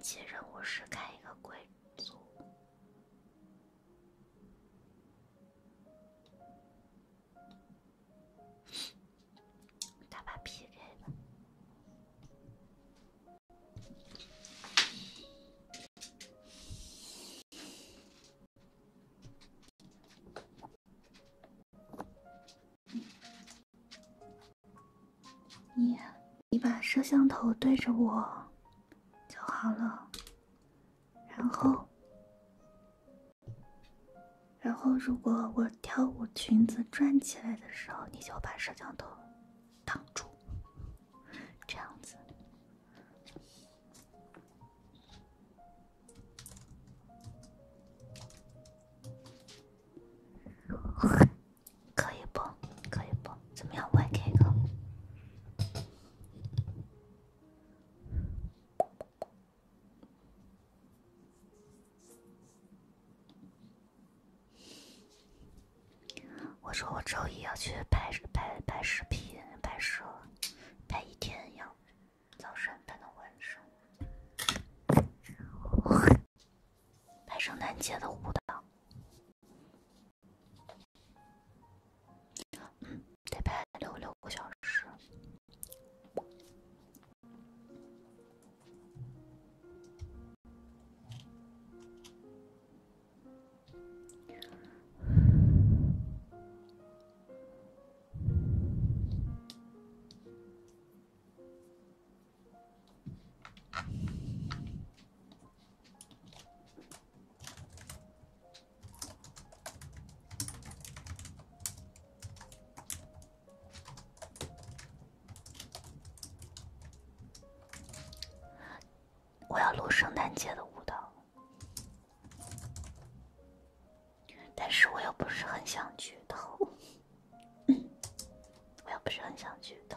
接任务是开一个贵族，打把 PK 吧。你你把摄像头对着我就好了，然后然后如果我跳舞裙子转起来的时候，你就把摄像头挡住，这样子。可以不可以不？怎么样？我也开个。我说我周一要去拍拍拍视频拍摄，拍一天要早上拍到晚上。拍圣诞节的舞蹈，嗯，得拍六六个小时。我要录圣诞节的舞蹈，但是我又不是很想去偷。我也不是很想去的。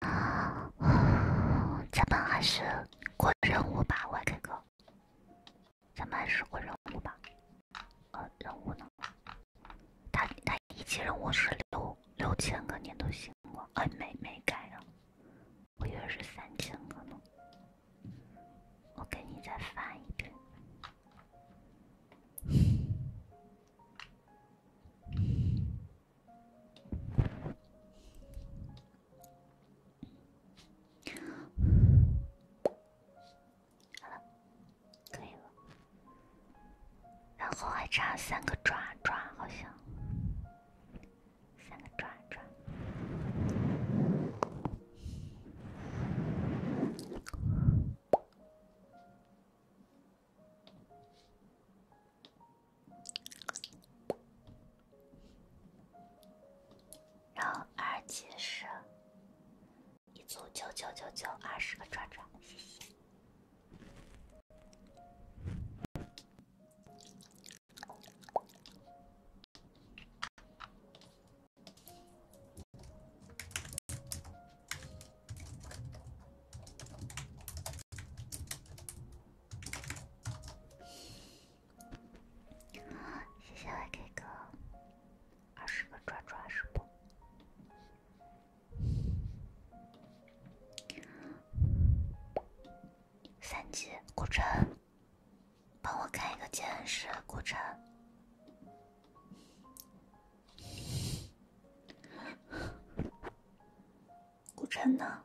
啊，咱们还是过任务吧我这哥。咱们还是过任务吧。呃，任务呢？他他一级任务是六六千个，你都行了，哎，没没改啊，我以为是三千个呢，我给你再发一遍。好了，可以了。然后还差三个爪爪，好像三个爪爪。然后二级声。一组九九九九二十个转转，谢谢。谢谢我哥哥。二十个抓抓是不？三级，古城，帮我开一个剑士，古城，古城呢？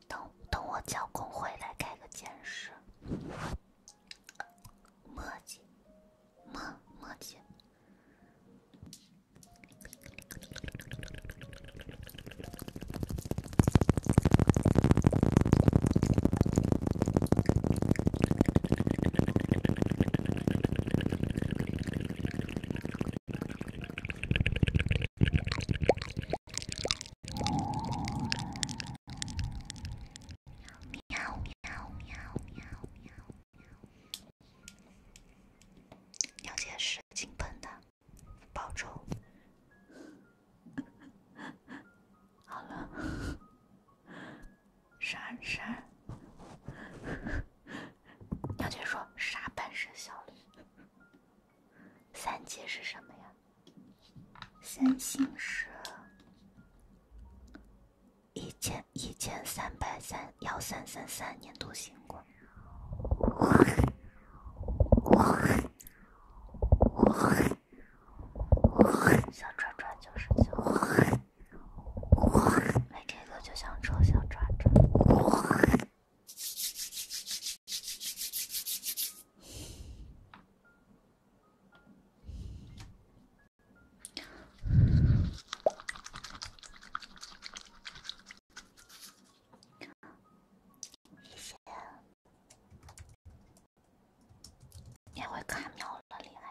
等等，我叫工会来开个监视。墨迹，墨墨迹。喵喵喵喵喵喵喵！喵姐金喷的，保重。好 了，啥啥？喵 姐说啥本事效率？三阶是什么呀？三星是一千一千三百三幺三三三年度星光。小爪爪就是想，每天都就想爪爪。谢也会卡秒了，厉害！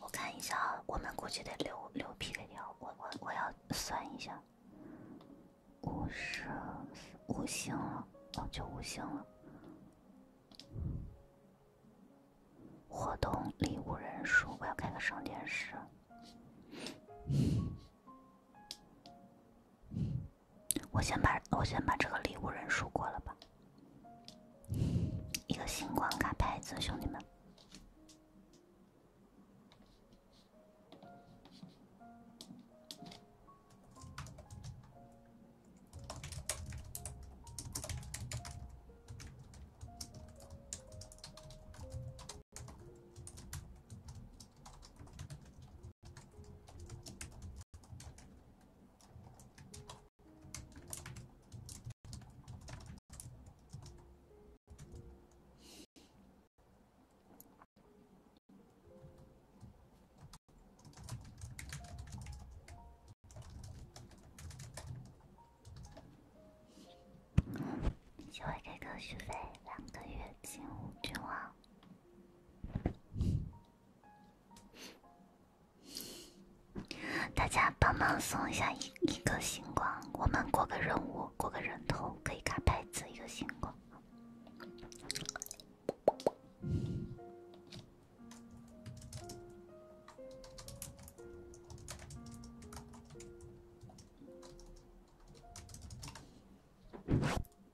我看一下，啊，我们估计得六六 PK 掉。我我我要算一下，五十五星了，哦就五星了。活动礼物人数，我要开个商店室。我先把我先把这个礼物人数过了吧，一个星光卡牌子，兄弟们。就会给科续费，两个月进五军王。大家帮忙送一下一一个星光，我们过个任务，过个人头可以卡牌子，一个星光。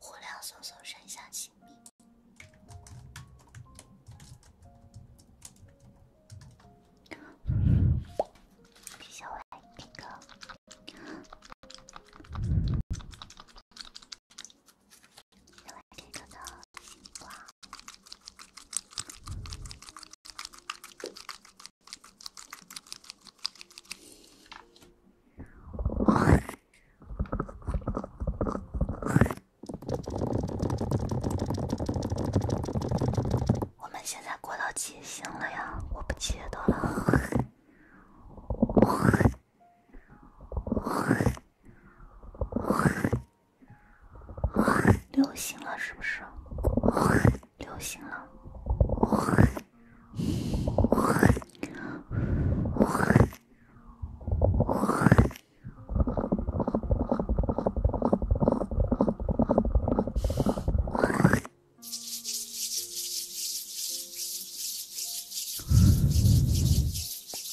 火亮搜索身下小爱，哥哥。小爱，哥哥的星光。我们现在过到几星了呀？我不记得了。流行了是不是？流行了。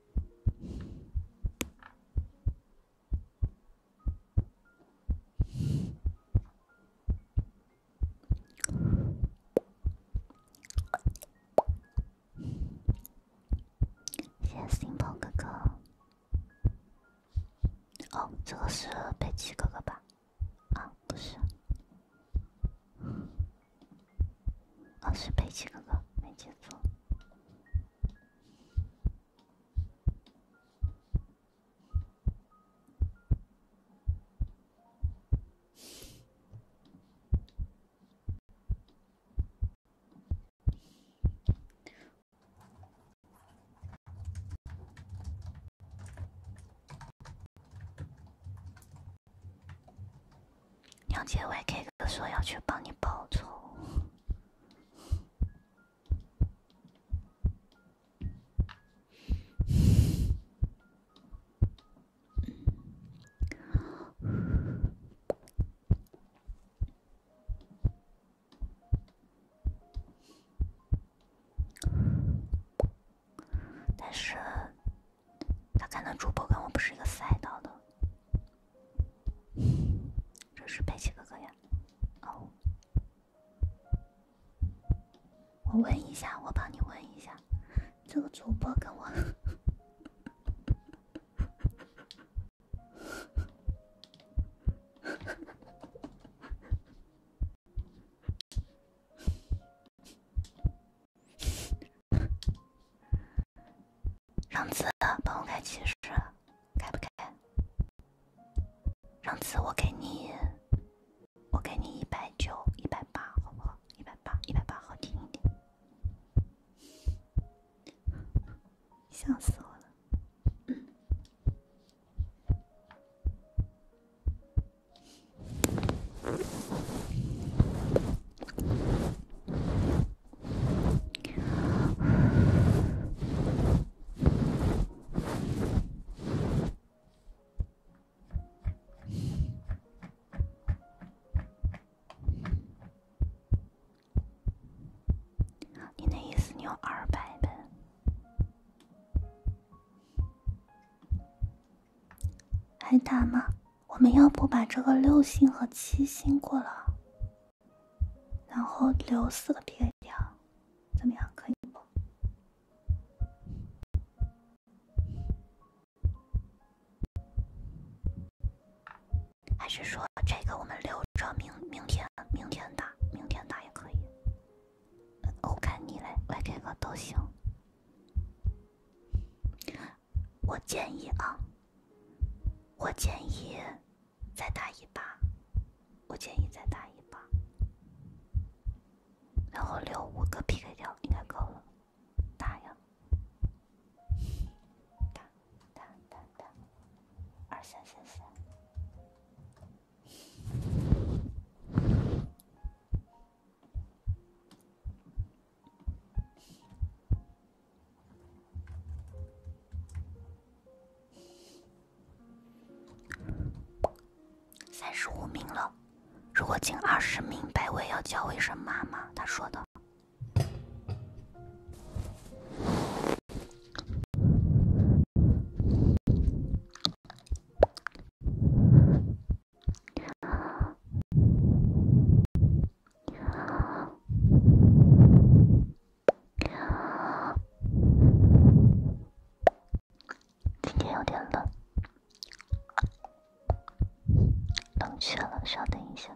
谢谢心鹏哥哥。哦，这个是北极哥哥吧？啊，不是。哦，是佩奇哥哥，没记错。杰伟给 K 哥说要去帮你报仇，但是。他看到主播跟我不是一个赛道的，这是佩奇哥哥呀，哦，我问一下，我帮你问一下，这个主播跟我。让子，帮我开骑士，开不开？让子，我给你，我给你一百九，一百八，好不好？一百八，一百八，好听一点，笑死我了。你那意思，你有二百呗？还打吗？我们要不把这个六星和七星过了，然后留四个 P K 掉，怎么样？可以不？还是说这个我们留着明明天明天打，明天打也可以。我看你来来这个都行。我建议啊，我建议再打一把，我建议再打一把，然后留五个 PK 掉应该够了，打呀，打打打打，三十五名了，如果进二十名，百位要叫我一声妈妈。他说的。今天有点冷，冷却了，稍等一下。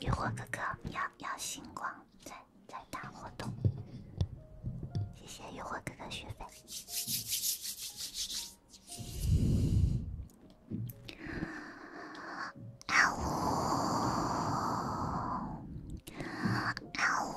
渔火哥哥要要星光在在打活动，谢谢渔火哥哥学费。啊呜啊呜。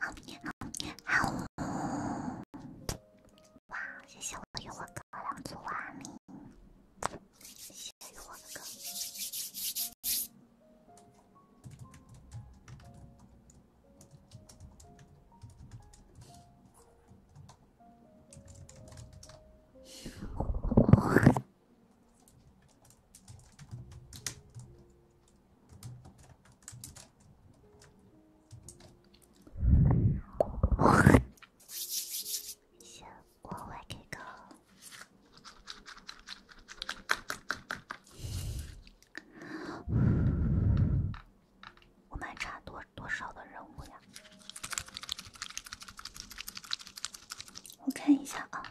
好，好，好，哇！谢谢我的幽王哥，两只碗里，谢谢幽王哥。哇！我来给个，我还差多少的任务呀？我看一下啊，